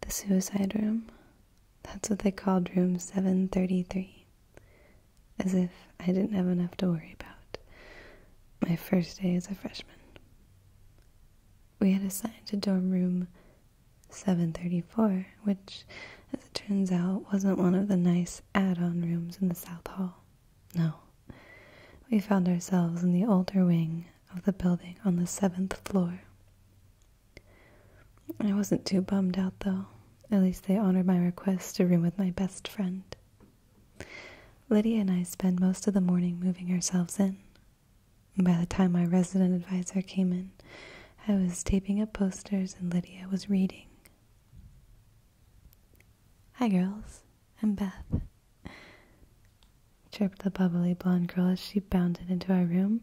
The suicide room. That's what they called room 733. As if I didn't have enough to worry about. My first day as a freshman. We had assigned to dorm room 734, which, as it turns out, wasn't one of the nice add on rooms in the South Hall. No. We found ourselves in the older wing of the building on the seventh floor. I wasn't too bummed out, though. At least they honored my request to room with my best friend. Lydia and I spent most of the morning moving ourselves in. By the time my resident advisor came in, I was taping up posters and Lydia was reading. Hi, girls. I'm Beth, chirped the bubbly blonde girl as she bounded into our room.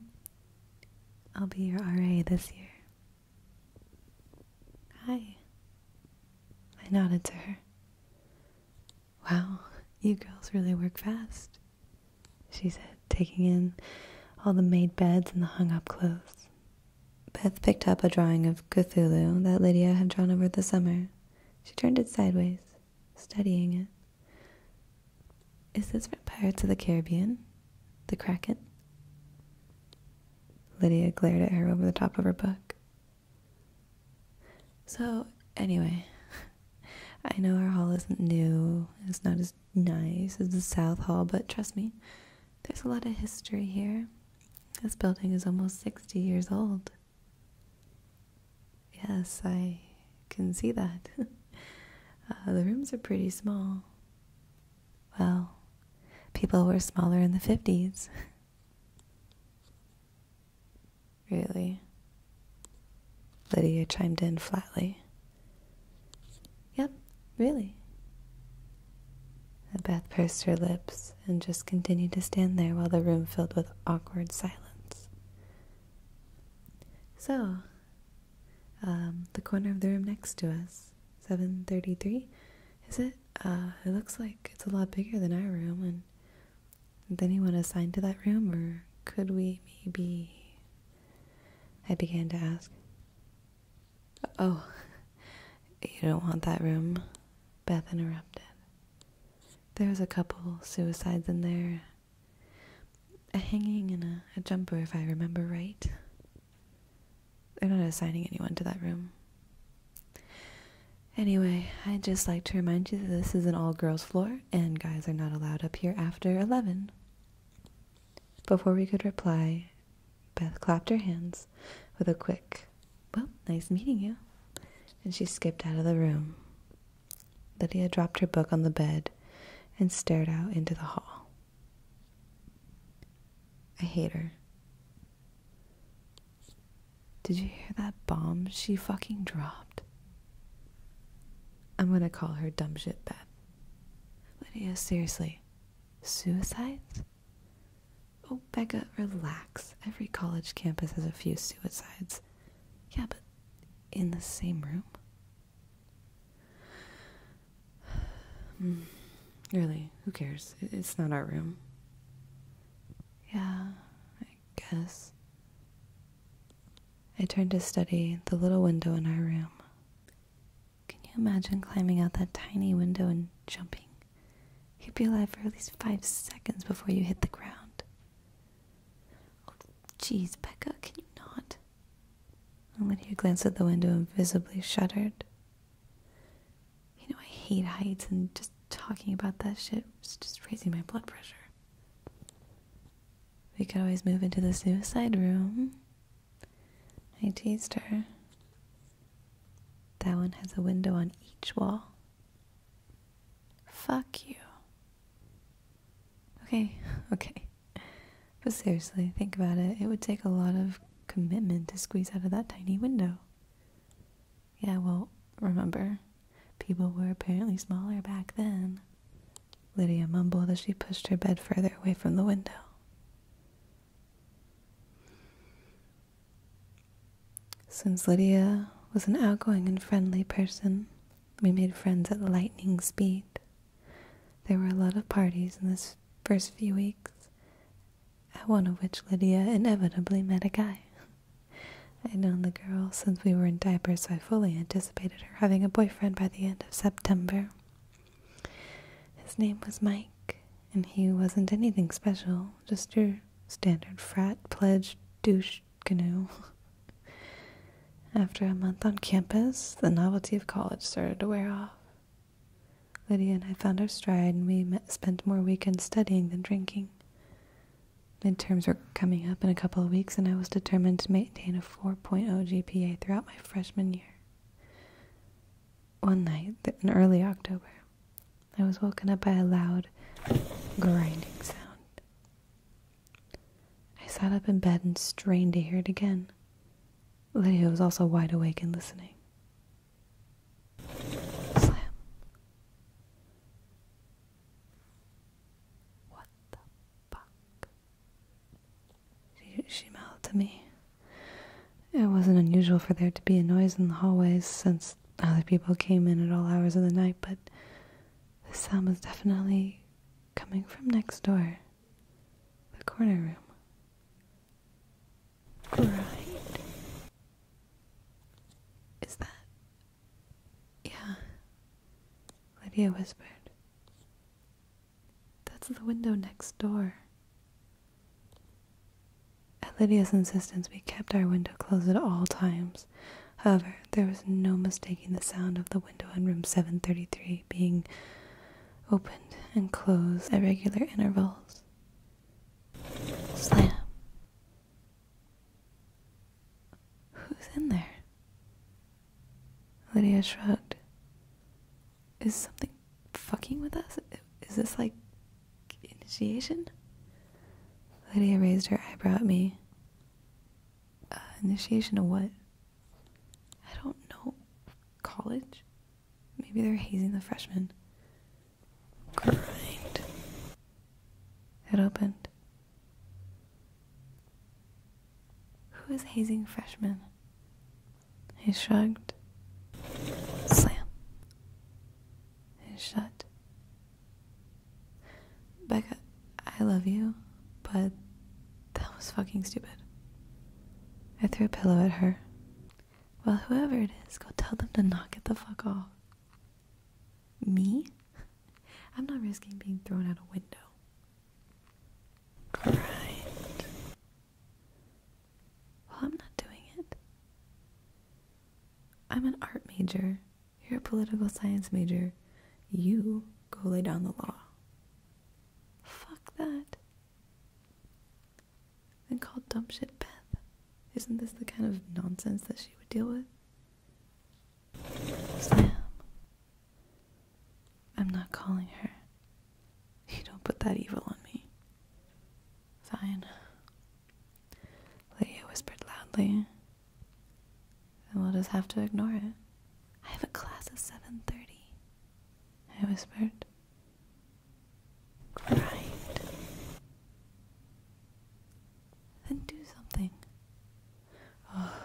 I'll be your RA this year. Hi. I nodded to her. Wow, you girls really work fast, she said, taking in all the made beds and the hung up clothes. Beth picked up a drawing of Cthulhu that Lydia had drawn over the summer she turned it sideways, studying it. Is this from Pirates of the Caribbean? The Kraken? Lydia glared at her over the top of her book. So, anyway, I know our hall isn't new, it's not as nice as the South Hall, but trust me, there's a lot of history here. This building is almost 60 years old. Yes, I can see that. Uh, the rooms are pretty small. Well, people were smaller in the 50s. really? Lydia chimed in flatly. Yep, really. Beth pursed her lips and just continued to stand there while the room filled with awkward silence. So, um, the corner of the room next to us, 733, is it? Uh, it looks like it's a lot bigger than our room, and is anyone assigned to that room, or could we maybe? I began to ask. Oh, you don't want that room, Beth interrupted. There's a couple suicides in there. A hanging and a, a jumper, if I remember right. They're not assigning anyone to that room. Anyway, I'd just like to remind you that this is an all girls floor and guys are not allowed up here after 11. Before we could reply, Beth clapped her hands with a quick, well, nice meeting you. And she skipped out of the room. Lydia dropped her book on the bed and stared out into the hall. I hate her. Did you hear that bomb she fucking dropped? I'm gonna call her dumb shit Beth. Lydia, seriously, suicides? Oh, Becca, relax. Every college campus has a few suicides. Yeah, but in the same room? really, who cares? It's not our room. Yeah, I guess. I turned to study the little window in our room. Can you imagine climbing out that tiny window and jumping You'd be alive for at least five seconds before you hit the ground. Oh, jeez, Becca, can you not? Lydia glanced at the window and visibly shuddered. You know, I hate heights, and just talking about that shit is just raising my blood pressure. We could always move into the suicide room. I teased her. That one has a window on each wall. Fuck you. Okay, okay. But seriously, think about it. It would take a lot of commitment to squeeze out of that tiny window. Yeah, well, remember, people were apparently smaller back then. Lydia mumbled as she pushed her bed further away from the window. Since Lydia was an outgoing and friendly person, we made friends at lightning speed. There were a lot of parties in the first few weeks, at one of which Lydia inevitably met a guy. I'd known the girl since we were in diapers, so I fully anticipated her having a boyfriend by the end of September. His name was Mike, and he wasn't anything special, just your standard frat pledged douche canoe. After a month on campus, the novelty of college started to wear off. Lydia and I found our stride, and we spent more weekends studying than drinking. Midterms were coming up in a couple of weeks, and I was determined to maintain a 4.0 GPA throughout my freshman year. One night in early October, I was woken up by a loud grinding sound. I sat up in bed and strained to hear it again. Lydia was also wide awake and listening. Slam. What the fuck? She, she mouthed to me. It wasn't unusual for there to be a noise in the hallways since other people came in at all hours of the night, but the sound was definitely coming from next door, the corner room. Right. Is that. Yeah. Lydia whispered. That's the window next door. At Lydia's insistence, we kept our window closed at all times. However, there was no mistaking the sound of the window in room 733 being opened and closed at regular intervals. Slam. Who's in there? Lydia shrugged. Is something fucking with us? Is this like initiation? Lydia raised her eyebrow at me. Uh, initiation of what? I don't know. College? Maybe they're hazing the freshmen. Grind. It opened. Who is hazing freshmen? He shrugged. Slam. It shut. Becca, I love you, but that was fucking stupid. I threw a pillow at her. Well, whoever it is, go tell them to knock it the fuck off. Me? I'm not risking being thrown out a window. Right. Well, I'm not doing it. I'm an art major. You're a political science major. You go lay down the law. Fuck that. Then call dumb shit Beth. Isn't this the kind of nonsense that she would deal with? Sam. I'm not calling her. You don't put that evil on me. Fine. Lydia whispered loudly. And we'll just have to ignore it. I have a class at 7.30, I whispered. Right. Then do something. Oh.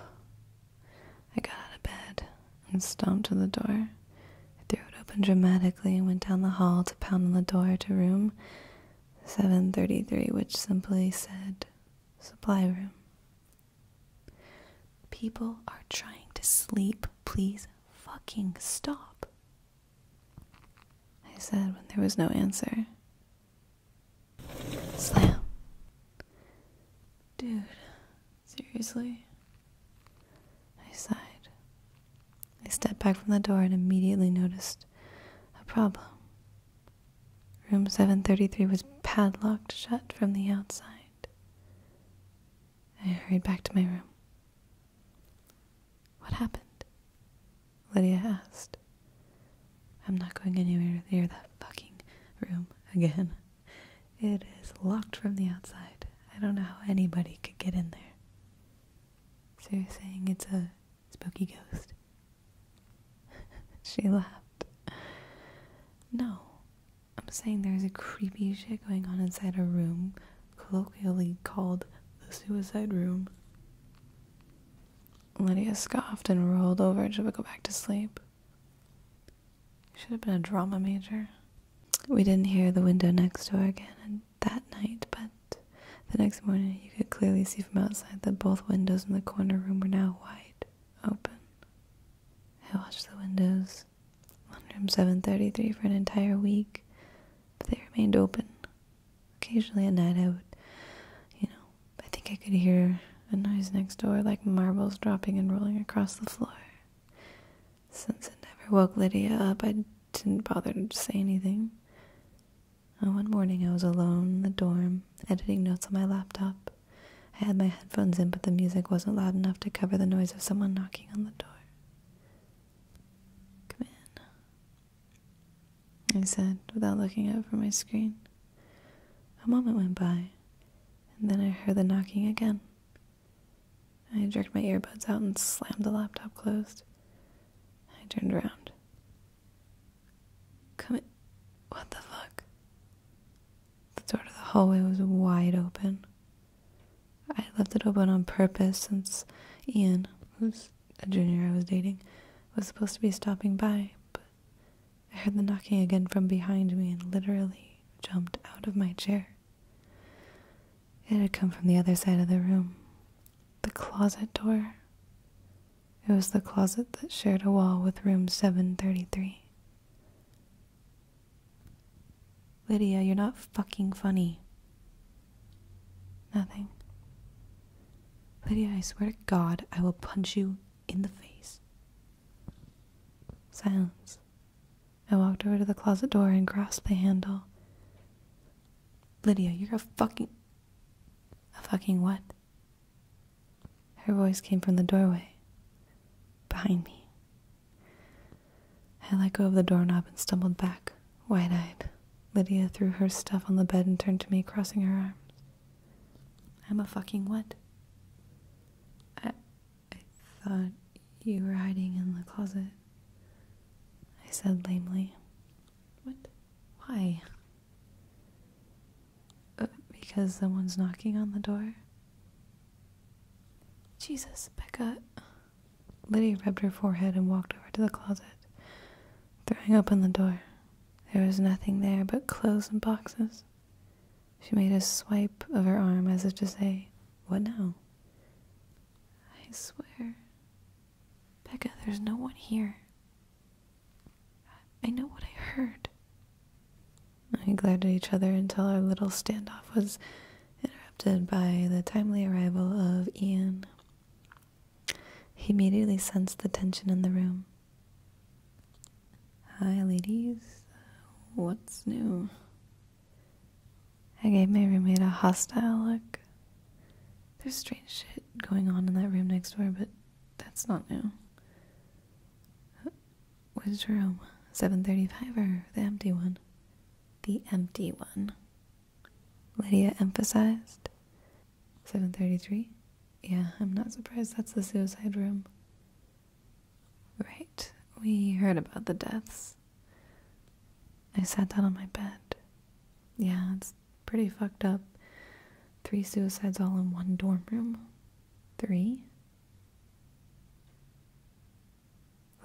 I got out of bed and stomped to the door. I threw it open dramatically and went down the hall to pound on the door to room 733, which simply said supply room. People are trying to sleep. Please fucking stop. I said when there was no answer. Slam. Dude, seriously? I sighed. I stepped back from the door and immediately noticed a problem. Room 733 was padlocked shut from the outside. I hurried back to my room. What happened? Lydia asked. I'm not going anywhere near that fucking room again. It is locked from the outside. I don't know how anybody could get in there. So you're saying it's a Spooky ghost. she laughed. No, I'm saying there's a creepy shit going on inside a room colloquially called the suicide room. Lydia scoffed and rolled over to go back to sleep. Should have been a drama major. We didn't hear the window next door again that night, but the next morning you could clearly see from outside that both windows in the corner room were now wide open. I watched the windows on room 733 for an entire week, but they remained open. Occasionally at night I would, you know, I think I could hear a noise next door like marbles dropping and rolling across the floor. Since it never woke Lydia up, I didn't bother to say anything. Oh, one morning I was alone in the dorm, editing notes on my laptop. I had my headphones in, but the music wasn't loud enough to cover the noise of someone knocking on the door. Come in, I said without looking up from my screen. A moment went by, and then I heard the knocking again. I jerked my earbuds out and slammed the laptop closed. I turned around. Come in. What the fuck? The door to the hallway was wide open. I left it open on purpose since Ian, who's a junior I was dating, was supposed to be stopping by, but I heard the knocking again from behind me and literally jumped out of my chair. It had come from the other side of the room, the closet door. It was the closet that shared a wall with room 733. Lydia, you're not fucking funny. Nothing. Lydia, I swear to God, I will punch you in the face. Silence. I walked over to the closet door and grasped the handle. Lydia, you're a fucking. A fucking what? Her voice came from the doorway, behind me. I let go of the doorknob and stumbled back, wide eyed. Lydia threw her stuff on the bed and turned to me, crossing her arms. I'm a fucking what? I, I thought you were hiding in the closet, I said lamely. What? Why? Uh, because someone's knocking on the door? Jesus, Becca. Liddy rubbed her forehead and walked over to the closet, throwing open the door. There was nothing there but clothes and boxes. She made a swipe of her arm as if to say, What now? I swear. Becca, there's no one here. I know what I heard. We glared at each other until our little standoff was interrupted by the timely arrival of Ian. He immediately sensed the tension in the room. Hi, ladies. What's new? I gave my roommate a hostile look. There's strange shit going on in that room next door, but that's not new. Which room? 735 or the empty one? The empty one. Lydia emphasized. 733? Yeah, I'm not surprised that's the suicide room. Right, we heard about the deaths. I sat down on my bed. Yeah, it's pretty fucked up. Three suicides all in one dorm room. Three?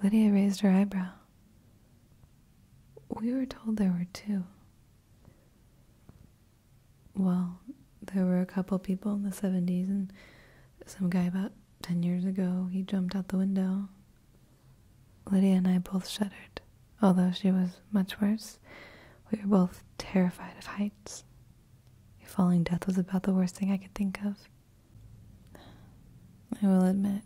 Lydia raised her eyebrow. We were told there were two. Well, there were a couple people in the 70s, and some guy about 10 years ago, he jumped out the window. Lydia and I both shuddered. Although she was much worse, we were both terrified of heights. A falling death was about the worst thing I could think of. I will admit,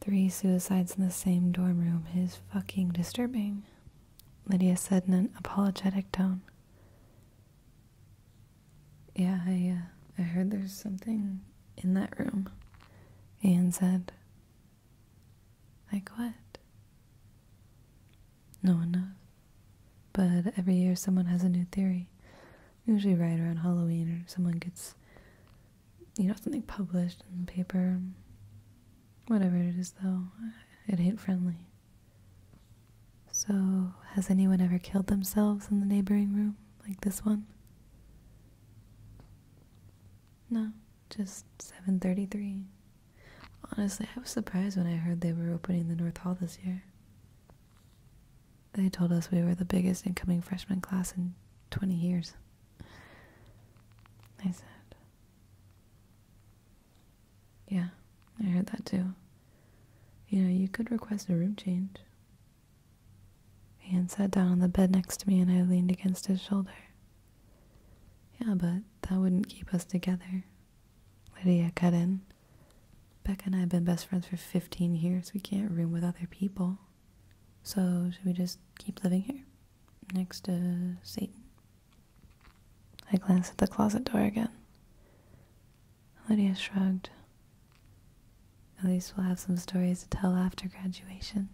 three suicides in the same dorm room is fucking disturbing, Lydia said in an apologetic tone. Yeah, I, uh, I heard there's something in that room, Ian said, like what? No one But every year someone has a new theory. Usually right around Halloween or someone gets you know, something published in the paper. Whatever it is though, it ain't friendly. So, has anyone ever killed themselves in the neighboring room like this one? No, just 733. Honestly, I was surprised when I heard they were opening the North Hall this year. They told us we were the biggest incoming freshman class in 20 years. I said. Yeah, I heard that too. You know, you could request a room change. Ian sat down on the bed next to me and I leaned against his shoulder. Yeah, but that wouldn't keep us together, Lydia cut in. Becca and I have been best friends for 15 years. We can't room with other people. So, should we just keep living here? Next to Satan? I glanced at the closet door again. Lydia shrugged. At least we'll have some stories to tell after graduation.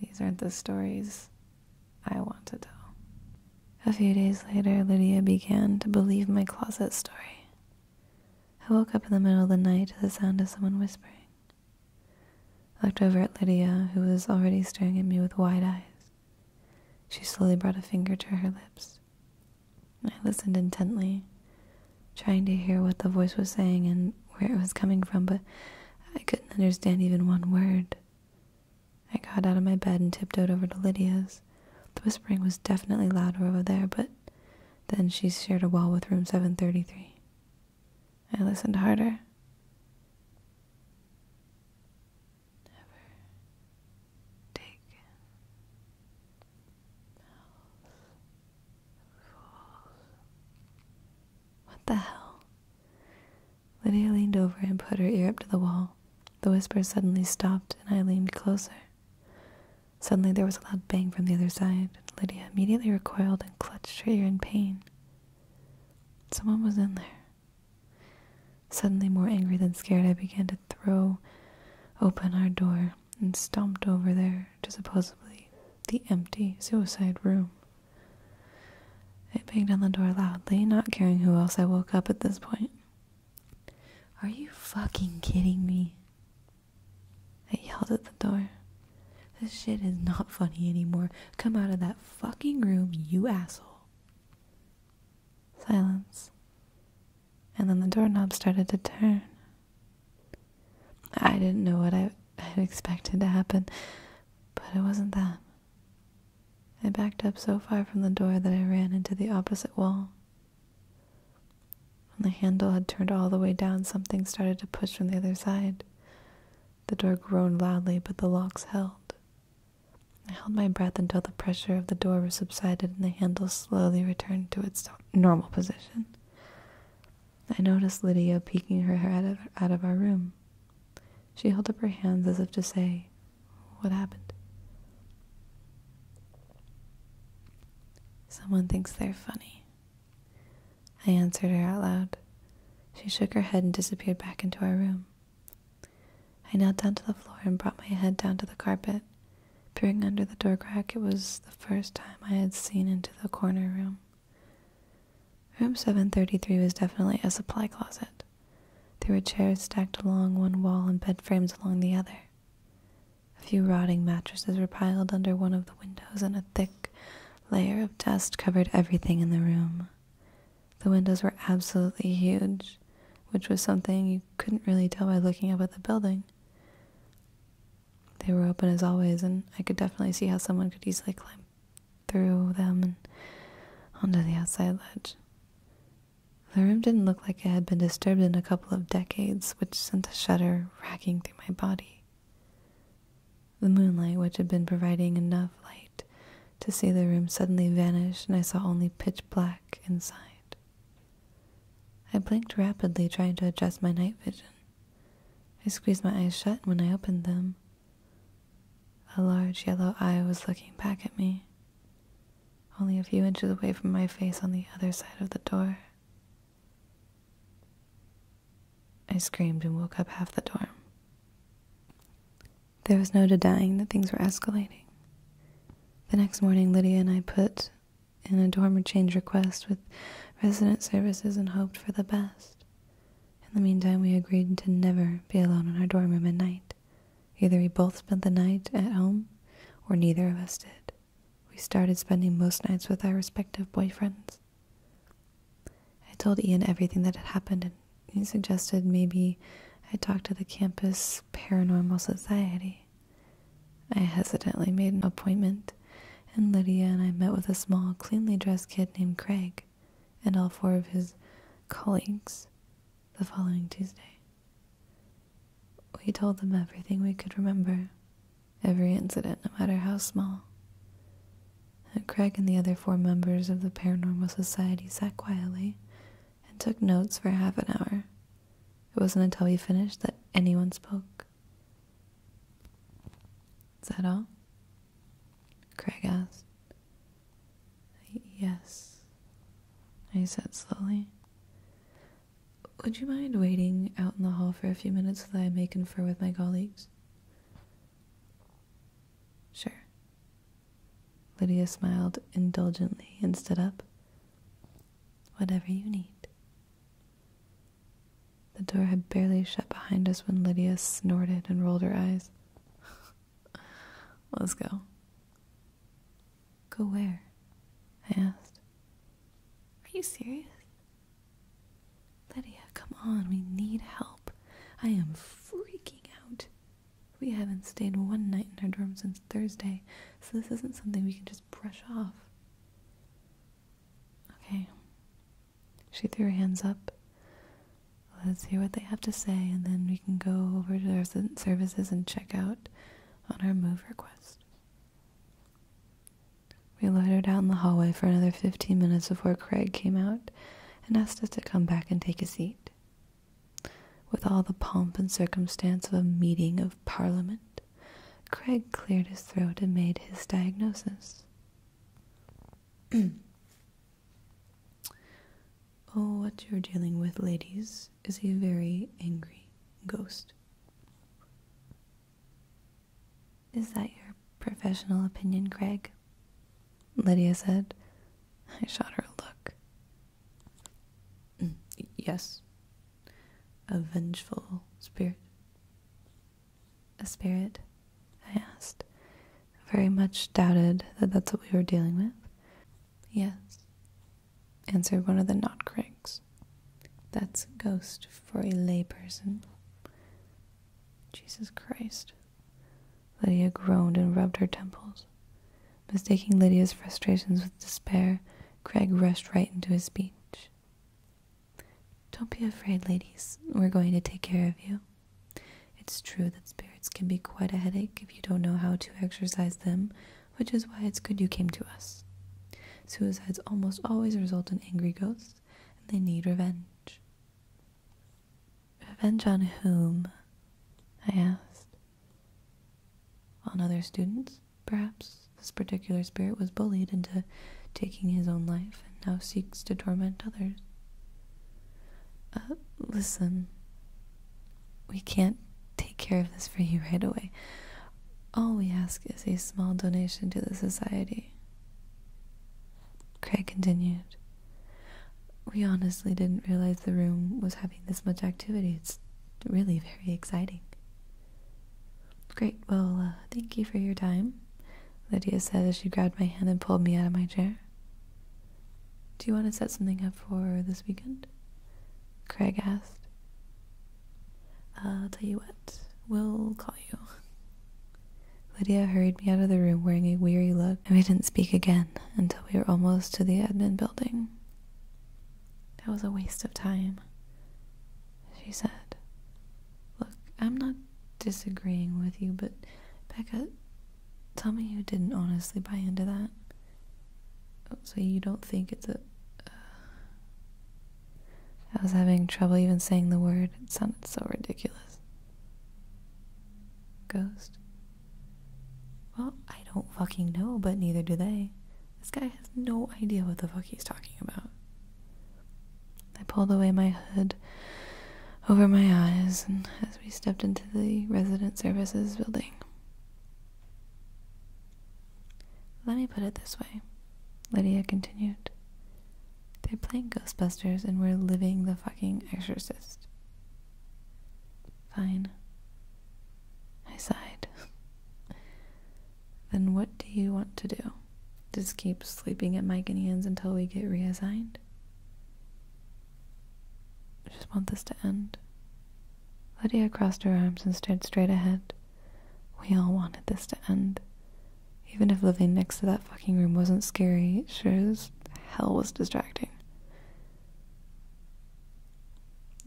These aren't the stories I want to tell. A few days later, Lydia began to believe my closet story. I woke up in the middle of the night to the sound of someone whispering. I looked over at Lydia, who was already staring at me with wide eyes. She slowly brought a finger to her lips. I listened intently, trying to hear what the voice was saying and where it was coming from, but I couldn't understand even one word. I got out of my bed and tiptoed over to Lydia's. The whispering was definitely louder over there, but then she shared a wall with room 733. I listened harder. Never taken mouth what the hell? Lydia leaned over and put her ear up to the wall. The whisper suddenly stopped, and I leaned closer. Suddenly there was a loud bang from the other side, Lydia immediately recoiled and clutched her ear in pain. Someone was in there. Suddenly more angry than scared, I began to throw open our door and stomped over there to supposedly the empty suicide room. I banged on the door loudly, not caring who else I woke up at this point. Are you fucking kidding me? I yelled at the door. This shit is not funny anymore. Come out of that fucking room, you asshole. Silence. And then the doorknob started to turn, I didn't know what I had expected to happen, but it wasn't that. I backed up so far from the door that I ran into the opposite wall. When the handle had turned all the way down, something started to push from the other side. The door groaned loudly, but the locks held. I held my breath until the pressure of the door subsided and the handle slowly returned to its normal position. I noticed Lydia peeking her head out of our room. She held up her hands as if to say, What happened? Someone thinks they're funny. I answered her out loud. She shook her head and disappeared back into our room. I knelt down to the floor and brought my head down to the carpet. Peering under the door crack, it was the first time I had seen into the corner room. Room 733 was definitely a supply closet. There were chairs stacked along one wall and bed frames along the other. A few rotting mattresses were piled under one of the windows, and a thick layer of dust covered everything in the room. The windows were absolutely huge, which was something you couldn't really tell by looking up at the building they were open as always, and I could definitely see how someone could easily climb through them and onto the outside ledge. The room didn't look like it had been disturbed in a couple of decades, which sent a shudder racking through my body. The moonlight, which had been providing enough light to see the room, suddenly vanished, and I saw only pitch black inside. I blinked rapidly, trying to adjust my night vision. I squeezed my eyes shut when I opened them. A large yellow eye was looking back at me, only a few inches away from my face on the other side of the door. I screamed and woke up half the dorm. There was no denying that things were escalating. The next morning, Lydia and I put in a dorm change request with resident services and hoped for the best. In the meantime, we agreed to never be alone in our dorm room at night. Either we both spent the night at home, or neither of us did. We started spending most nights with our respective boyfriends. I told Ian everything that had happened, and he suggested maybe I talk to the campus paranormal society. I hesitantly made an appointment and Lydia and I met with a small, cleanly dressed kid named Craig and all four of his colleagues the following Tuesday. We told them everything we could remember, every incident, no matter how small. And Craig and the other four members of the Paranormal Society sat quietly and took notes for half an hour. It wasn't until we finished that anyone spoke. Is that all? Craig asked. Yes, I said slowly. Would you mind waiting out in the hall for a few minutes so that I may confer with my colleagues? Sure. Lydia smiled indulgently and stood up. Whatever you need. The door had barely shut behind us when Lydia snorted and rolled her eyes. Let's go. Go where? I asked. Are you serious? Lydia, come on, we need help. I am freaking out. We haven't stayed one night in our dorm since Thursday, so this isn't something we can just brush off. Okay, she threw her hands up. Let's hear what they have to say, and then we can go over to our services and check out on our move request. We loitered out in the hallway for another 15 minutes before Craig came out and asked us to come back and take a seat. With all the pomp and circumstance of a meeting of Parliament, Craig cleared his throat and made his diagnosis. oh, what you're dealing with, ladies, is a very angry ghost. Is that your professional opinion, Craig? Lydia said. I shot her a look. Mm, yes. A vengeful spirit a spirit? I asked. Very much doubted that that's what we were dealing with. Yes, answered one of the knot Notcrakes. That's ghost for a lay person. Jesus Christ. Lydia groaned and rubbed her temples. Mistaking Lydia's frustrations with despair, Craig rushed right into his speech. Don't be afraid, ladies. We're going to take care of you. It's true that spirits can be quite a headache if you don't know how to exercise them, which is why it's good you came to us. Suicides almost always result in angry ghosts, and they need revenge. Revenge on whom? I asked. On other students, perhaps. This particular spirit was bullied into taking his own life and now seeks to torment others. Uh, listen, we can't take care of this for you right away. All we ask is a small donation to the society. Craig continued. We honestly didn't realize the room was having this much activity. It's really very exciting. Great, well, uh, thank you for your time, Lydia said as she grabbed my hand and pulled me out of my chair. Do you want to set something up for this weekend? Craig asked. I'll tell you what, we'll call you. Lydia hurried me out of the room wearing a weary look, and we didn't speak again until we were almost to the admin building. That was a waste of time, she said. Look, I'm not disagreeing with you, but Becca, tell me you didn't honestly buy into that. So you don't think it's a. Uh, I was having trouble even saying the word. It sounded so ridiculous. Ghost? Well, I don't fucking know, but neither do they. This guy has no idea what the fuck he's talking about. I pulled away my hood over my eyes and as we stepped into the resident services building. Let me put it this way, Lydia continued. They're playing Ghostbusters and we're living the fucking exorcist. Fine. I sighed. then what do you want to do? Just keep sleeping at Mike and Ian's until we get reassigned. I just want this to end. Lydia crossed her arms and stared straight ahead. We all wanted this to end. Even if living next to that fucking room wasn't scary, it sure as hell was distracting.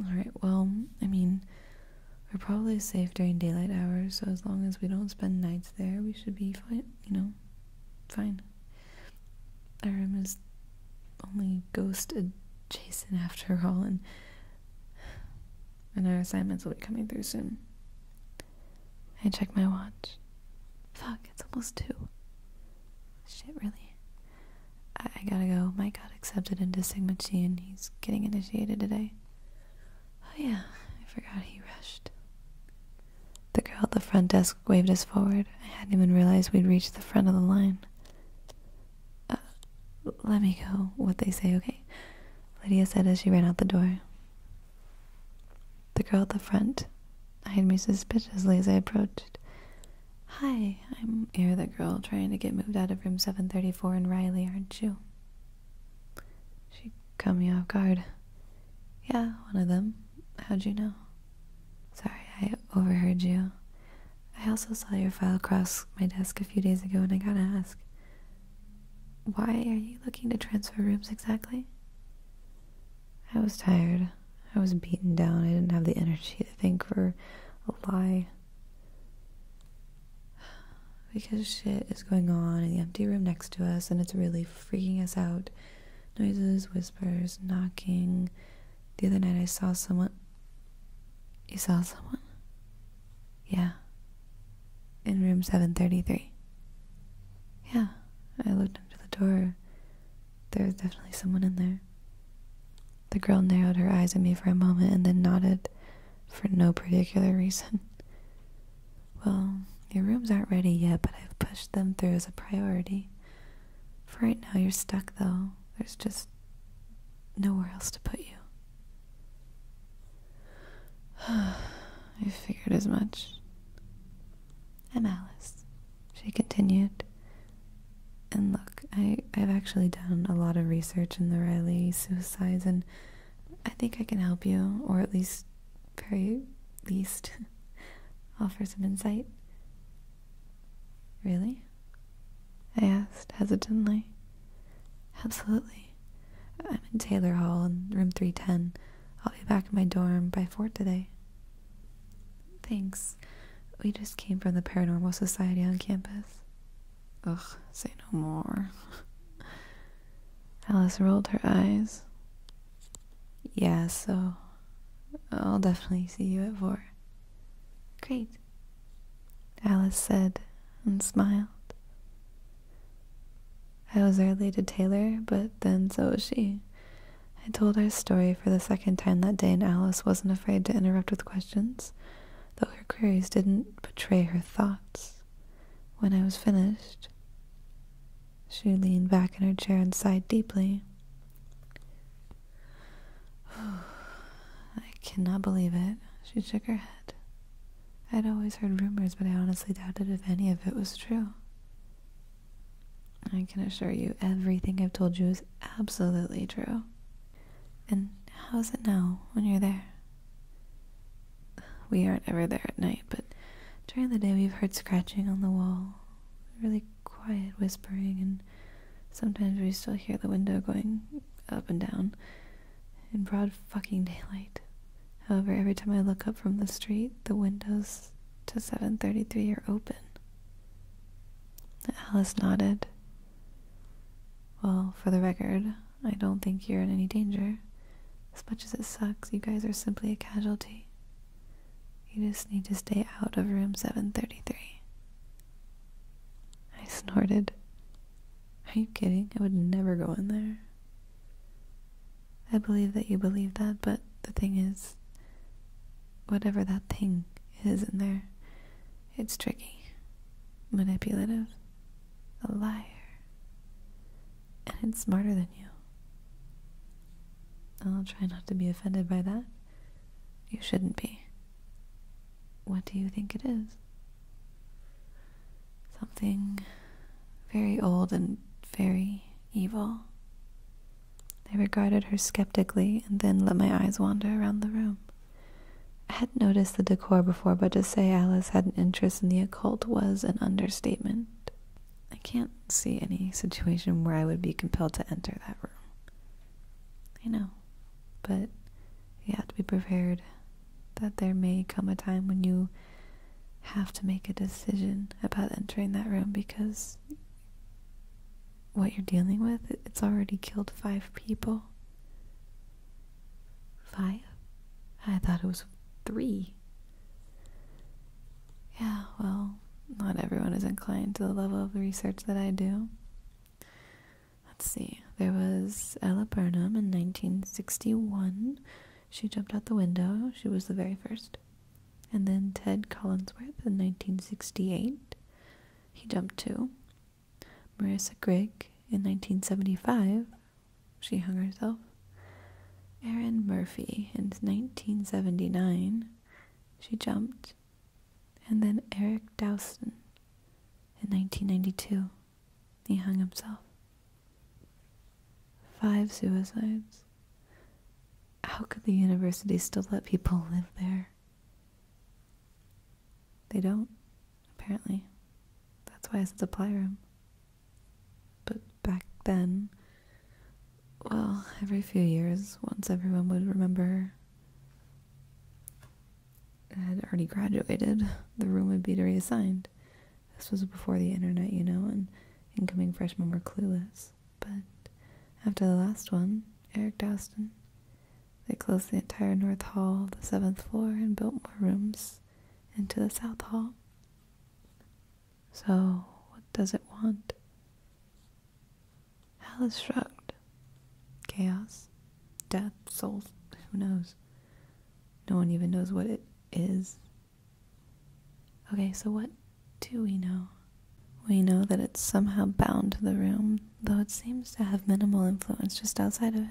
Alright, well, I mean, we are probably safe during daylight hours, so as long as we don't spend nights there, we should be fine, you know, fine. Our room is only ghost adjacent after all, and, and our assignments will be coming through soon. I check my watch. Fuck, it's almost two. Shit, really. I, I gotta go. Mike got accepted into Sigma Chi and he's getting initiated today. Oh, yeah, I forgot he rushed. The girl at the front desk waved us forward. I hadn't even realized we'd reached the front of the line. Uh, let me go, what they say, okay? Lydia said as she ran out the door. The girl at the front eyed me suspiciously as I approached. Hi, I'm Air the girl trying to get moved out of room 734 in Riley, aren't you? She Come you off guard. Yeah, one of them. How'd you know? Sorry, I overheard you. I also saw your file across my desk a few days ago, and I gotta ask why are you looking to transfer rooms exactly? I was tired. I was beaten down. I didn't have the energy to think for a lie because shit is going on in the empty room next to us and it's really freaking us out. Noises, whispers, knocking. The other night I saw someone. You saw someone? Yeah. In room 733. Yeah. I looked up the door. There was definitely someone in there. The girl narrowed her eyes at me for a moment and then nodded for no particular reason. Well, your rooms aren't ready yet, but I've pushed them through as a priority. For right now, you're stuck, though. There's just nowhere else to put you. I figured as much. I'm Alice, she continued. And look, I, I've actually done a lot of research in the Riley suicides, and I think I can help you, or at least, very least, offer some insight. Really? I asked hesitantly. Absolutely. I'm in Taylor Hall in room 310. I'll be back in my dorm by 4 today. Thanks. We just came from the Paranormal Society on campus. Ugh, say no more. Alice rolled her eyes. Yeah, so I'll definitely see you at four. Great, Alice said and smiled. I was early to Taylor, but then so was she. I told our story for the second time that day, and Alice wasn't afraid to interrupt with questions, though her queries didn't betray her thoughts. When I was finished, she leaned back in her chair and sighed deeply. I cannot believe it. She shook her head. I'd always heard rumors, but I honestly doubted if any of it was true. I can assure you everything I've told you is absolutely true. And how's it now when you're there? We aren't ever there at night, but during the day we've heard scratching on the wall, really quiet whispering, and sometimes we still hear the window going up and down in broad fucking daylight. However, every time I look up from the street, the windows to 733 are open. Alice nodded. Well, for the record, I don't think you're in any danger. As much as it sucks, you guys are simply a casualty. You just need to stay out of room 733. I snorted. Are you kidding? I would never go in there. I believe that you believe that, but the thing is, whatever that thing is in there, it's tricky, manipulative, a liar and it's smarter than you. I'll try not to be offended by that. You shouldn't be. What do you think it is? Something very old and very evil. I regarded her skeptically and then let my eyes wander around the room. I had noticed the decor before, but to say Alice had an interest in the cult was an understatement. I can't see any situation where I would be compelled to enter that room. I know, but you have to be prepared that there may come a time when you have to make a decision about entering that room because what you're dealing with, it's already killed five people. Five? I thought it was three. Yeah, well, not everyone is inclined to the level of the research that I do. Let's see. There was Ella Burnham in 1961. She jumped out the window. She was the very first. And then Ted Collinsworth in 1968. He jumped too. Marissa Grigg in 1975 she hung herself. Erin Murphy in 1979, she jumped. And then Eric Dowson in 1992, he hung himself. Five suicides. How could the university still let people live there? They don't, apparently. That's why it's supply room. But back then, well, every few years, once everyone would remember I had already graduated, the room would be reassigned. This was before the internet, you know, and incoming freshmen were clueless. But after the last one, Eric Dowston, they closed the entire North Hall, the seventh floor, and built more rooms into the South Hall. So, what does it want? Hell is shrugged. Chaos, death, souls, who knows? No one even knows what it is. Okay, so what do we know? We know that it's somehow bound to the room, though it seems to have minimal influence just outside of it.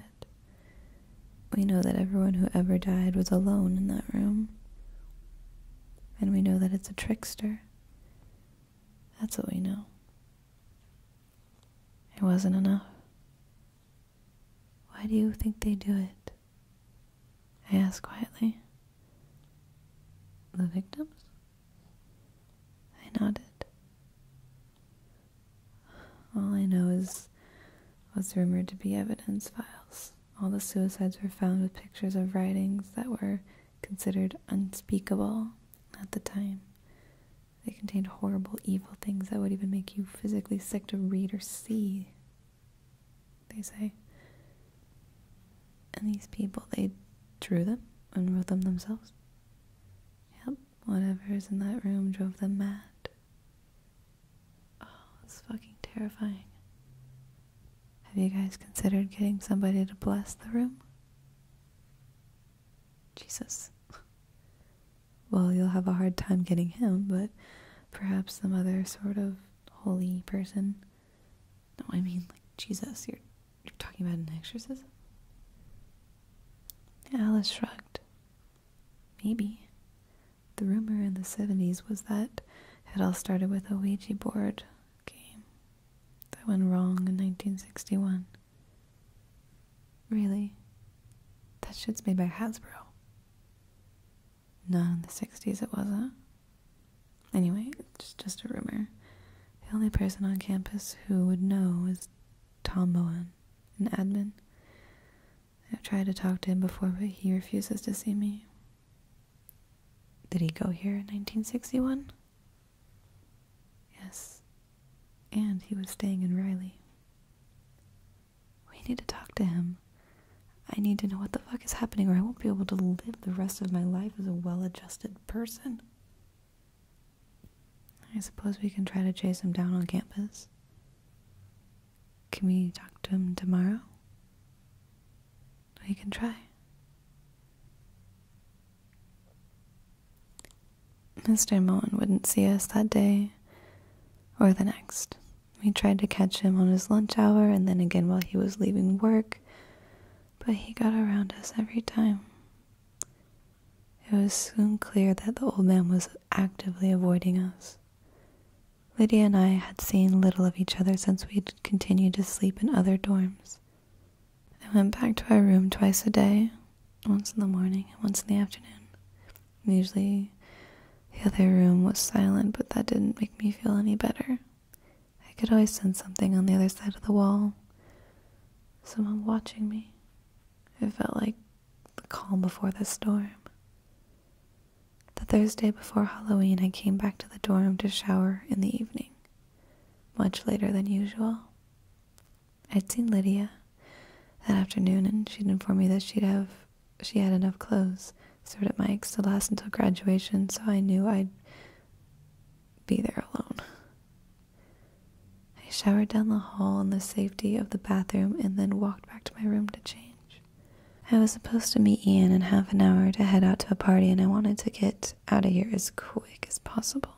We know that everyone who ever died was alone in that room. And we know that it's a trickster. That's what we know. It wasn't enough. Why do you think they do it? I asked quietly. The victims? I nodded. All I know is was rumored to be evidence files. All the suicides were found with pictures of writings that were considered unspeakable at the time. They contained horrible, evil things that would even make you physically sick to read or see, they say. And these people, they drew them and wrote them themselves. Yep, whatever is in that room drove them mad. Oh, it's fucking terrifying. Have you guys considered getting somebody to bless the room? Jesus. Well, you'll have a hard time getting him, but perhaps some other sort of holy person. No, I mean like Jesus. You're you're talking about an exorcism? Alice shrugged. Maybe. The rumor in the 70s was that it all started with a Ouija board game that went wrong in 1961. Really? That shit's made by Hasbro. No, in the 60s, it wasn't. Anyway, it's just a rumor. The only person on campus who would know is Tom Bowen, an admin. I've tried to talk to him before, but he refuses to see me. Did he go here in 1961? Yes. And he was staying in Riley. We need to talk to him. I need to know what the fuck is happening or I won't be able to live the rest of my life as a well-adjusted person. I suppose we can try to chase him down on campus. Can we talk to him tomorrow? We can try. Mr. Mullen wouldn't see us that day or the next. We tried to catch him on his lunch hour and then again while he was leaving work, but he got around us every time. It was soon clear that the old man was actively avoiding us. Lydia and I had seen little of each other since we would continued to sleep in other dorms. I went back to our room twice a day, once in the morning and once in the afternoon. Usually, the other room was silent, but that didn't make me feel any better. I could always sense something on the other side of the wall someone watching me. It felt like the calm before the storm. The Thursday before Halloween, I came back to the dorm to shower in the evening, much later than usual. I'd seen Lydia that afternoon, and she'd informed me that she'd have she had enough clothes stored at Mike's to last until graduation, so I knew I'd be there alone. I showered down the hall in the safety of the bathroom and then walked back to my room to change. I was supposed to meet Ian in half an hour to head out to a party, and I wanted to get out of here as quick as possible.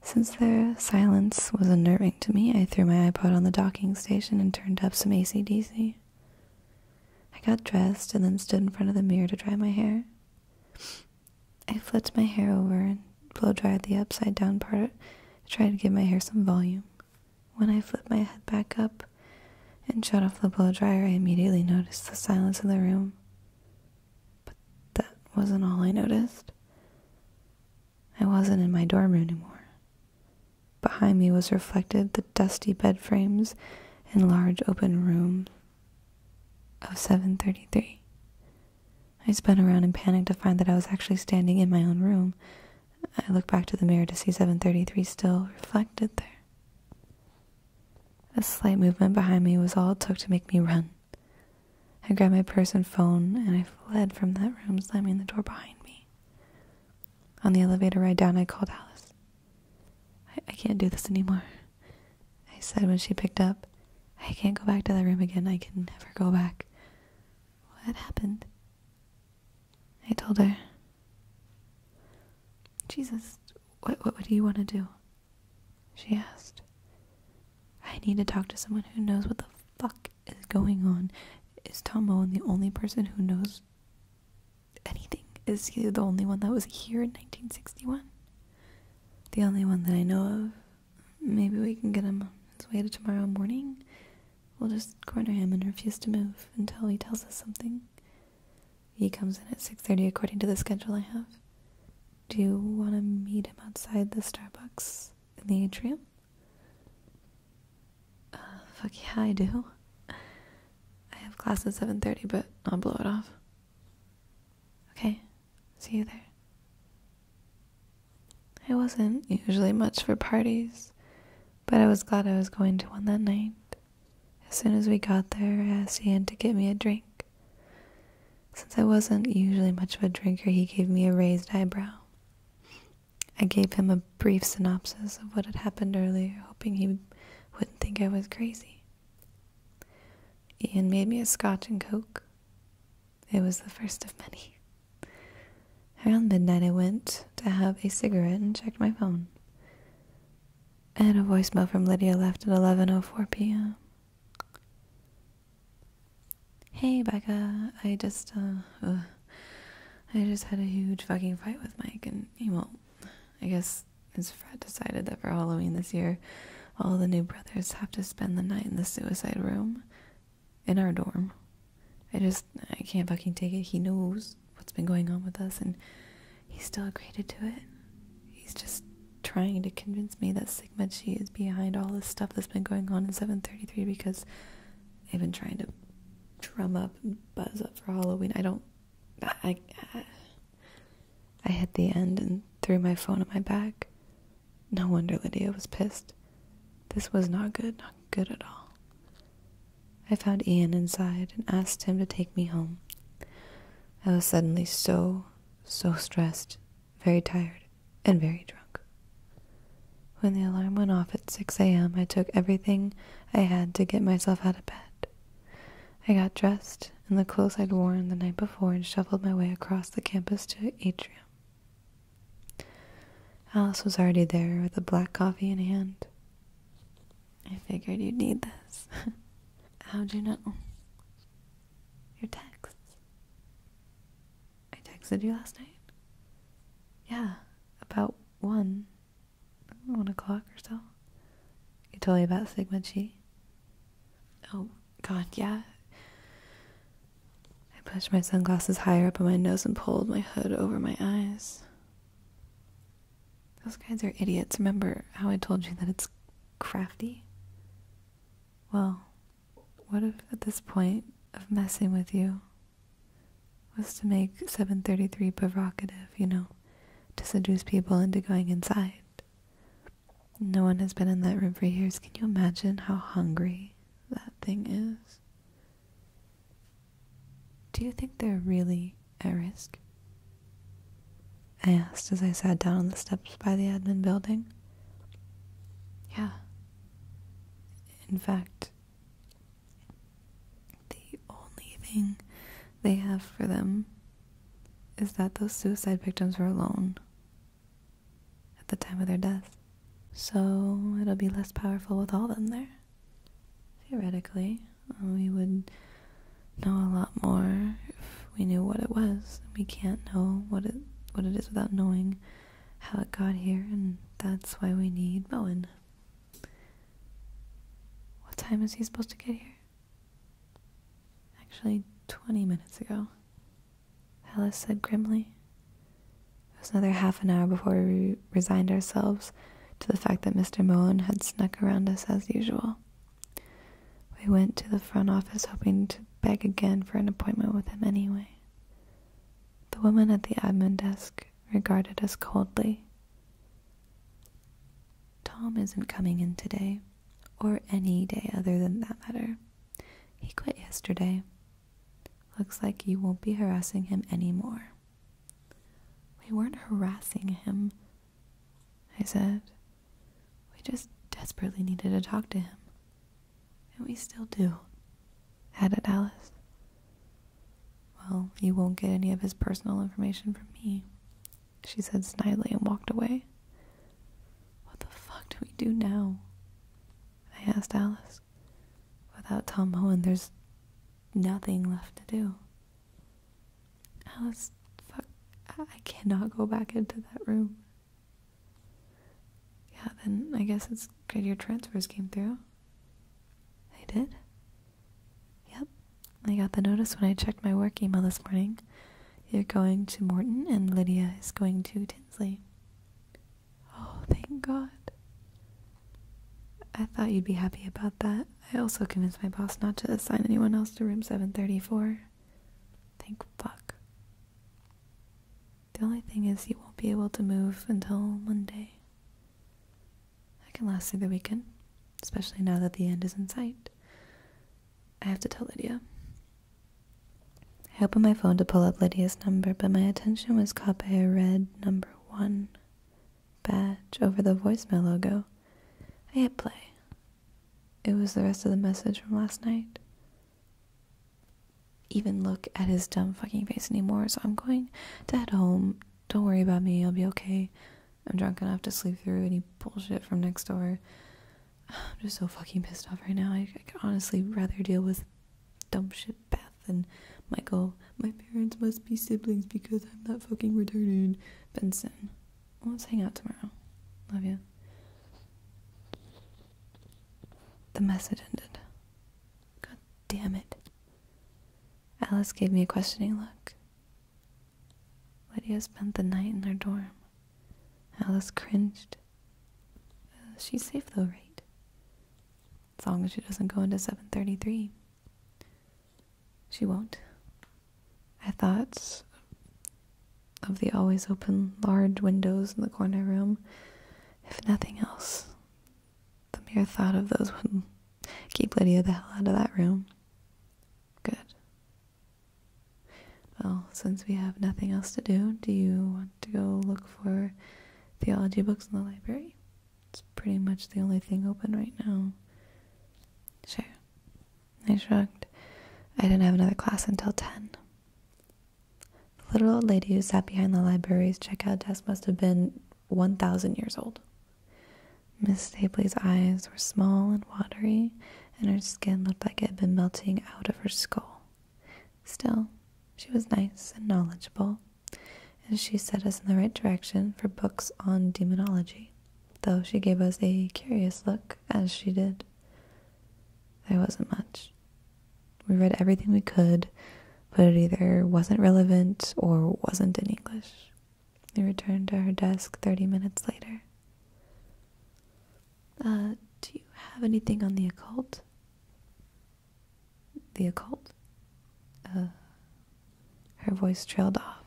Since their silence was unnerving to me, I threw my iPod on the docking station and turned up some ACDC. I got dressed and then stood in front of the mirror to dry my hair. I flipped my hair over and blow dried the upside down part to try to give my hair some volume. When I flipped my head back up and shut off the blow dryer, I immediately noticed the silence in the room. But that wasn't all I noticed. I wasn't in my dorm room anymore. Behind me was reflected the dusty bed frames and large open room of 733. I spun around in panic to find that I was actually standing in my own room, I looked back to the mirror to see 733 still reflected there. A slight movement behind me was all it took to make me run. I grabbed my purse and phone, and I fled from that room, slamming the door behind me. On the elevator ride down, I called Alice. I can't do this anymore, I said when she picked up. I can't go back to that room again. I can never go back. What happened? I told her, Jesus, what, what, do you want to do? She asked. I need to talk to someone who knows what the fuck is going on. Is Tom Owen the only person who knows anything? Is he the only one that was here in 1961? The only one that I know of. Maybe we can get him on his way to tomorrow morning? We'll just corner him and refuse to move until he tells us something. He comes in at 6.30 according to the schedule I have. Do you want to meet him outside the Starbucks in the atrium? Uh, fuck yeah, I do. I have class at 7.30, but I'll blow it off. Okay, see you there. I wasn't usually much for parties, but I was glad I was going to one that night. As soon as we got there, I asked Ian to get me a drink. Since I wasn't usually much of a drinker, he gave me a raised eyebrow. I gave him a brief synopsis of what had happened earlier, hoping he wouldn't think I was crazy. Ian made me a scotch and coke. It was the first of many. Around midnight, I went to have a cigarette and checked my phone. I had a voicemail from Lydia left at 11.04 p.m. Hey, Becca. I just, uh, I just had a huge fucking fight with Mike, and he won't. I guess his frat decided that for Halloween this year, all the new brothers have to spend the night in the suicide room in our dorm. I just I can't fucking take it. He knows what's been going on with us and he still agreed to it. He's just trying to convince me that Sigma Chi is behind all this stuff that's been going on in 733 because they've been trying to drum up and buzz up for Halloween. I don't I, I, I hit the end and threw my phone on my back. No wonder Lydia was pissed. This was not good, not good at all. I found Ian inside and asked him to take me home. I was suddenly so, so stressed, very tired, and very drunk. When the alarm went off at 6 a.m., I took everything I had to get myself out of bed. I got dressed in the clothes I'd worn the night before and shuffled my way across the campus to atrium. Alice was already there with a black coffee in hand. I figured you'd need this. How'd you know? Your text. I texted you last night? Yeah, about one. One o'clock or so. You told me about Sigma Chi. Oh, God, yeah. I pushed my sunglasses higher up on my nose and pulled my hood over my eyes. Those guys are idiots. Remember how I told you that it's crafty? Well, what if at this point of messing with you was to make 733 provocative, you know, to seduce people into going inside? No one has been in that room for years. Can you imagine how hungry that thing is? Do you think they're really at risk? I asked as I sat down on the steps by the admin building. Yeah. In fact, the only thing they have for them is that those suicide victims were alone at the time of their death. So it'll be less powerful with all of them there. Theoretically, we would know a lot more if we knew what it was. We can't know what it what it is without knowing how it got here, and that's why we need Bowen. What time is he supposed to get here? Actually, 20 minutes ago. Alice said grimly. It was another half an hour before we resigned ourselves to the fact that Mr. Moen had snuck around us as usual. We went to the front office hoping to beg again for an appointment with him anyway. The woman at the admin desk regarded us coldly. Tom isn't coming in today, or any day other than that matter. He quit yesterday, Looks like you won't be harassing him anymore. We weren't harassing him, I said. We just desperately needed to talk to him. And we still do, added Alice. Well, you won't get any of his personal information from me, she said snidely and walked away. What the fuck do we do now? I asked Alice without Tom Holland, there's nothing left to do. Alice, fuck. I cannot go back into that room. Yeah, then I guess it's good your transfers came through. They did. Yep, I got the notice when I checked my work email this morning. You're going to Morton, and Lydia is going to Tinsley. Oh, thank God. I thought you'd be happy about that. I also convinced my boss not to assign anyone else to room 734. Thank fuck. The only thing is, you won't be able to move until Monday. I can last through the weekend, especially now that the end is in sight. I have to tell Lydia. I opened my phone to pull up Lydia's number, but my attention was caught by a red number one badge over the voicemail logo. I hit play. It was the rest of the message from last night. Even look at his dumb fucking face anymore, so I'm going to head home. Don't worry about me, I'll be okay. I'm drunk enough to sleep through any bullshit from next door. I'm just so fucking pissed off right now. I, could honestly rather deal with dumb shit Beth and Michael. My parents must be siblings because I'm not fucking retarded. Benson. let's hang out tomorrow. Love you. The message ended. God damn it. Alice gave me a questioning look. Lydia spent the night in their dorm. Alice cringed. Uh, she's safe though, right? As long as she doesn't go into 733. She won't. I thought of the always open large windows in the corner room. If nothing else, the mere thought of those would keep Lydia the hell out of that room. Good. Well, since we have nothing else to do, do you want to go look for theology books in the library. It's pretty much the only thing open right now. Sure. I shrugged. I didn't have another class until 10. The little old lady who sat behind the library's checkout desk must have been 1,000 years old. Miss Stapley's eyes were small and watery, and her skin looked like it had been melting out of her skull. Still, she was nice and knowledgeable, and she set us in the right direction for books on demonology, though she gave us a curious look as she did. There wasn't much. We read everything we could, but it either wasn't relevant or wasn't in English. We returned to her desk 30 minutes later. Uh, do you have anything on the occult? the occult. Uh, her voice trailed off.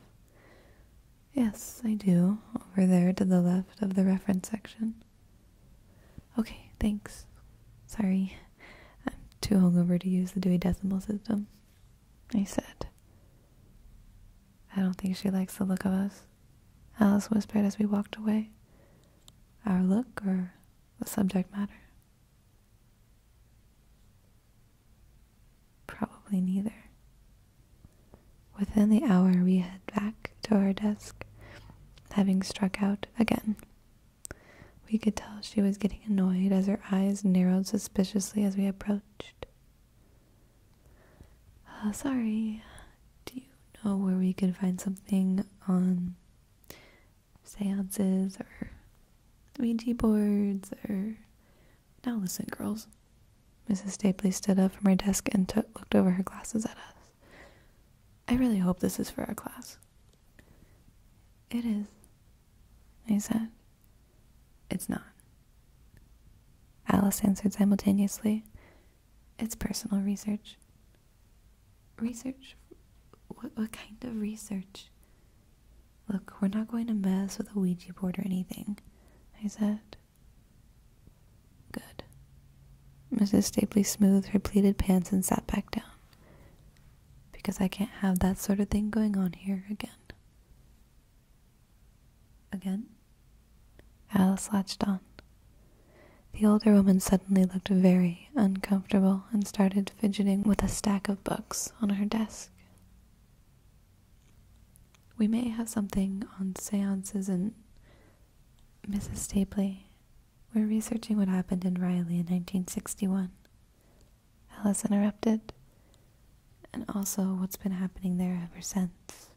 Yes, I do. Over there to the left of the reference section. Okay, thanks. Sorry, I'm too hungover to use the Dewey Decimal System. I said. I don't think she likes the look of us. Alice whispered as we walked away. Our look or the subject matter? Probably neither. Within the hour, we head back to our desk, having struck out again. We could tell she was getting annoyed as her eyes narrowed suspiciously as we approached. Uh, sorry, do you know where we could find something on seances or Ouija boards or. Now listen, girls. Mrs. Stapley stood up from her desk and took, looked over her glasses at us. I really hope this is for our class. It is, I said. It's not. Alice answered simultaneously. It's personal research. Research? What, kind of research? Look, we're not going to mess with a Ouija board or anything, I said. Good. Mrs. Stapley smoothed her pleated pants and sat back down. Because I can't have that sort of thing going on here again. Again? Alice latched on. The older woman suddenly looked very uncomfortable and started fidgeting with a stack of books on her desk. We may have something on seances and Mrs. Stapley. We're researching what happened in Riley in 1961. Alice interrupted, and also what's been happening there ever since.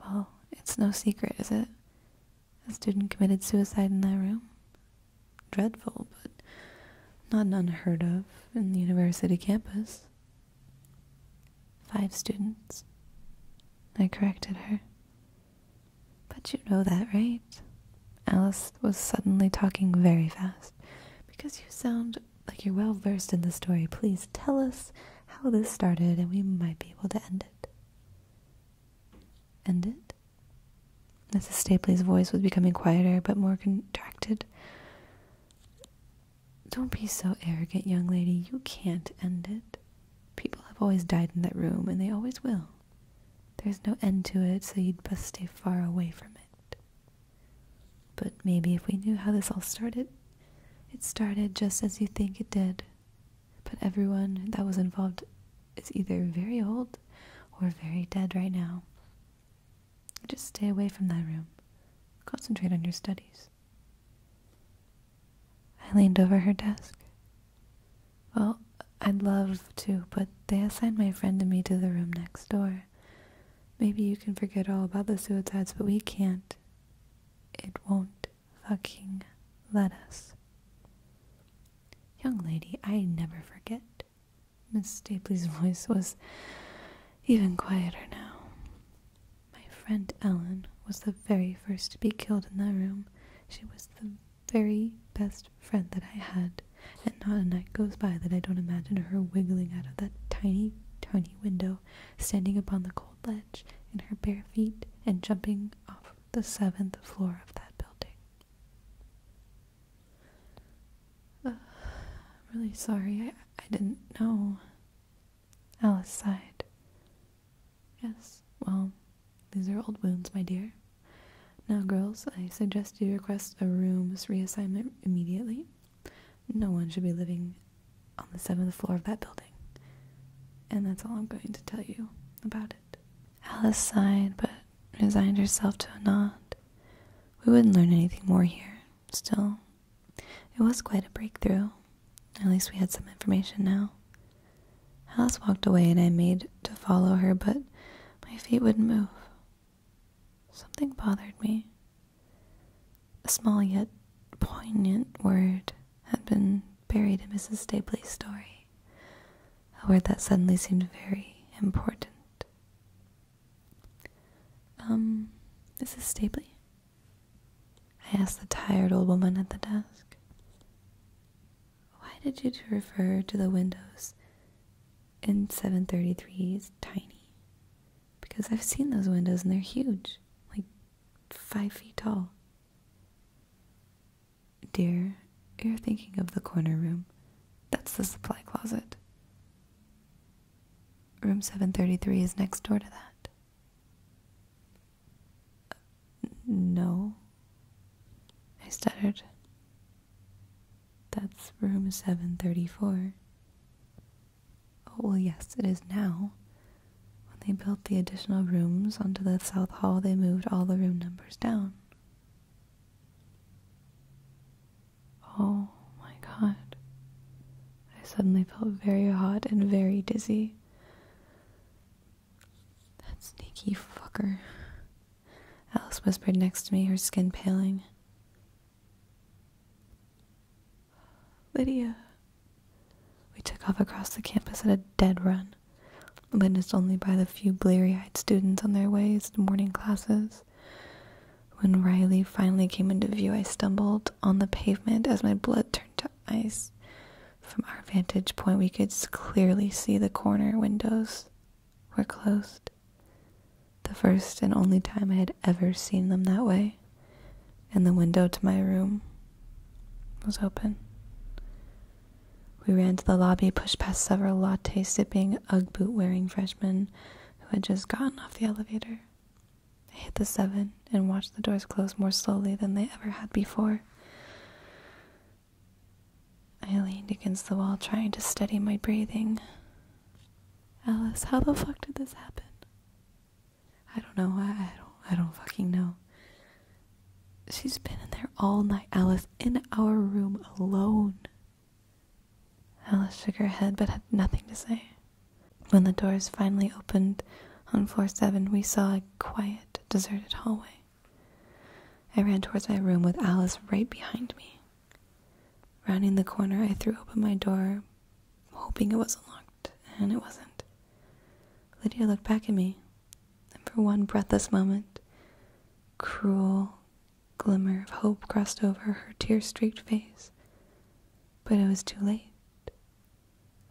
Well, it's no secret, is it? A student committed suicide in that room. Dreadful, but not unheard of in the university campus. Five students. I corrected her. But you know that, right? Alice was suddenly talking very fast. Because you sound like you're well versed in the story, please tell us how this started and we might be able to end it. End it. Mrs. Stapley's voice was becoming quieter but more contracted. Don't be so arrogant, young lady. You can't end it. People have always died in that room, and they always will. There's no end to it, so you'd best stay far away from it. But maybe if we knew how this all started, it started just as you think it did but everyone that was involved is either very old or very dead right now. Just stay away from that room. Concentrate on your studies. I leaned over her desk. Well, I'd love to, but they assigned my friend and me to the room next door. Maybe you can forget all about the suicides, but we can't. It won't fucking lettuce. Young lady, I never forget. Miss Stapley's voice was even quieter now. My friend Ellen was the very first to be killed in that room. She was the very best friend that I had, and not a night goes by that I don't imagine her wiggling out of that tiny, tiny window, standing upon the cold ledge in her bare feet and jumping off the seventh floor of that building. I'm really sorry, I, I didn't know. Alice sighed. Yes, well, these are old wounds, my dear. Now, girls, I suggest you request a room's reassignment immediately. No one should be living on the seventh floor of that building. And that's all I'm going to tell you about it. Alice sighed, but resigned herself to a nod. We wouldn't learn anything more here. Still, it was quite a breakthrough. At least we had some information now. Alice walked away, and I made to follow her, but my feet wouldn't move. Something bothered me. A small yet poignant word had been buried in Mrs. Stapley's story a word that suddenly seemed very important. Um, Mrs. Stapley? I asked the tired old woman at the desk. Why did you refer to the windows in 733 as tiny? Because I've seen those windows and they're huge, like five feet tall. Dear, you're thinking of the corner room. That's the supply closet. Room 733 is next door to that. no, I stuttered. That's room 734. Oh, well, yes, it is now. When they built the additional rooms onto the South Hall, they moved all the room numbers down. Oh my god. I suddenly felt very hot and very dizzy. That sneaky fucker. Alice whispered next to me, her skin paling. Lydia. We took off across the campus at a dead run witnessed only by the few bleary-eyed students on their ways to morning classes. When Riley finally came into view, I stumbled on the pavement as my blood turned to ice. From our vantage point, we could clearly see the corner windows were closed. The first and only time I had ever seen them that way, and the window to my room was open. We ran to the lobby, pushed past several latte sipping, Ugg boot wearing freshmen who had just gotten off the elevator. I hit the seven and watched the doors close more slowly than they ever had before. I leaned against the wall, trying to steady my breathing. Alice, how the fuck did this happen? I don't know. I, I don't. I don't fucking know. She's been in there all night, Alice, in our room alone. Alice shook her head but had nothing to say. When the doors finally opened on floor seven, we saw a quiet, deserted hallway. I ran towards my room with Alice right behind me. Rounding the corner, I threw open my door, hoping it wasn't locked, and it wasn't. Lydia looked back at me, and for one breathless moment, cruel glimmer of hope crossed over her tear-streaked face. But it was too late.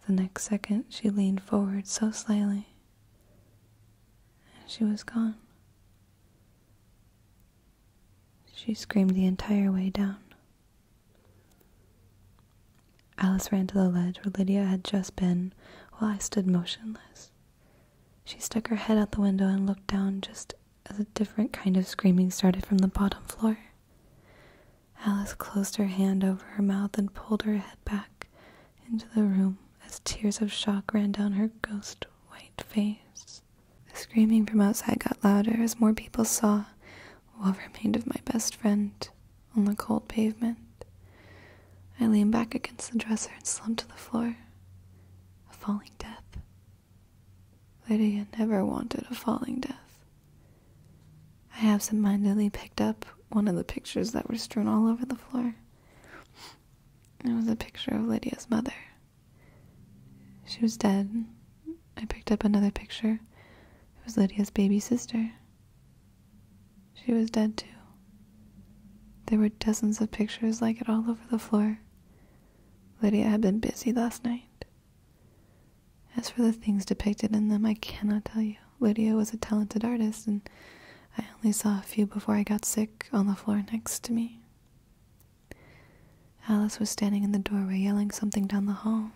The next second, she leaned forward so slightly, and she was gone. She screamed the entire way down. Alice ran to the ledge where Lydia had just been while I stood motionless. She stuck her head out the window and looked down just as a different kind of screaming started from the bottom floor. Alice closed her hand over her mouth and pulled her head back into the room as tears of shock ran down her ghost white face. The screaming from outside got louder as more people saw what remained of my best friend on the cold pavement. I leaned back against the dresser and slumped to the floor. A falling death. Lydia never wanted a falling death. I absentmindedly picked up one of the pictures that were strewn all over the floor. It was a picture of Lydia's mother. She was dead. I picked up another picture. It was Lydia's baby sister. She was dead too. There were dozens of pictures like it all over the floor. Lydia had been busy last night. As for the things depicted in them, I cannot tell you. Lydia was a talented artist, and I only saw a few before I got sick on the floor next to me. Alice was standing in the doorway yelling something down the hall.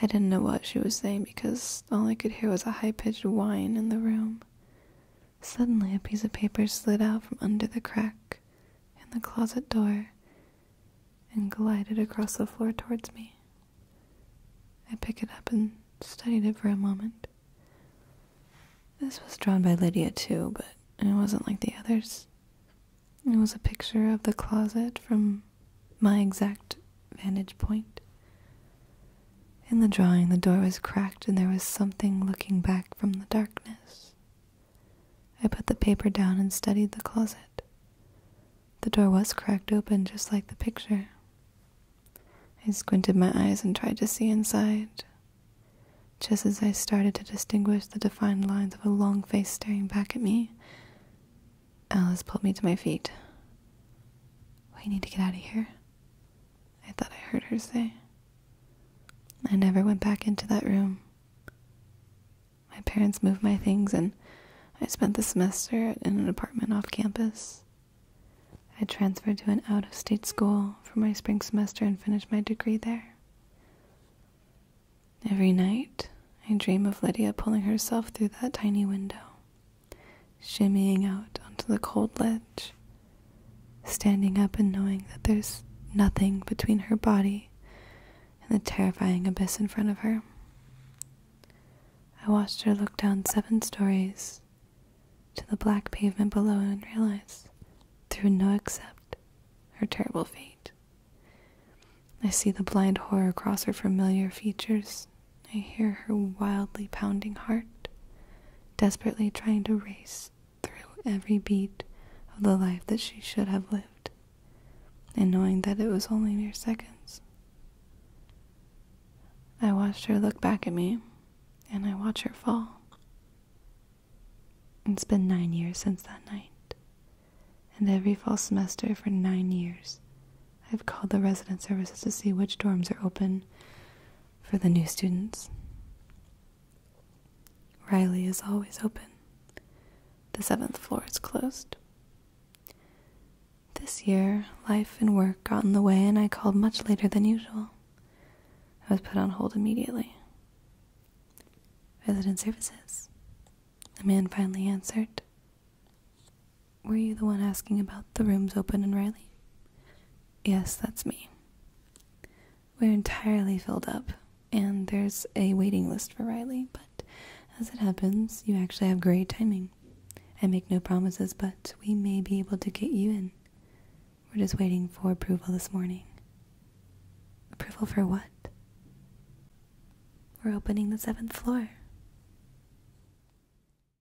I didn't know what she was saying because all I could hear was a high pitched whine in the room. Suddenly, a piece of paper slid out from under the crack in the closet door and glided across the floor towards me. I picked it up and studied it for a moment. This was drawn by Lydia, too, but it wasn't like the others. It was a picture of the closet from my exact vantage point. In the drawing, the door was cracked and there was something looking back from the darkness. I put the paper down and studied the closet. The door was cracked open just like the picture. I squinted my eyes and tried to see inside. Just as I started to distinguish the defined lines of a long face staring back at me, Alice pulled me to my feet. We need to get out of here. I thought I heard her say. I never went back into that room. My parents moved my things, and I spent the semester in an apartment off campus. I transferred to an out of state school for my spring semester and finished my degree there. Every night, I dream of Lydia pulling herself through that tiny window shimmying out onto the cold ledge, standing up and knowing that there's nothing between her body and the terrifying abyss in front of her. I watched her look down seven stories to the black pavement below and realize, through no except, her terrible fate. I see the blind horror cross her familiar features I hear her wildly pounding heart, desperately trying to race through every beat of the life that she should have lived, and knowing that it was only mere seconds. I watched her look back at me, and I watch her fall. It's been nine years since that night, and every fall semester for nine years, I've called the resident services to see which dorms are open for the new students. Riley is always open. The seventh floor is closed. This year, life and work got in the way, and I called much later than usual. I was put on hold immediately. Resident Services. The man finally answered. Were you the one asking about the rooms open in Riley? Yes, that's me. We're entirely filled up, and there's a waiting list for Riley, but as it happens, you actually have great timing. I make no promises, but we may be able to get you in. We're just waiting for approval this morning. Approval for what? We're opening the seventh floor.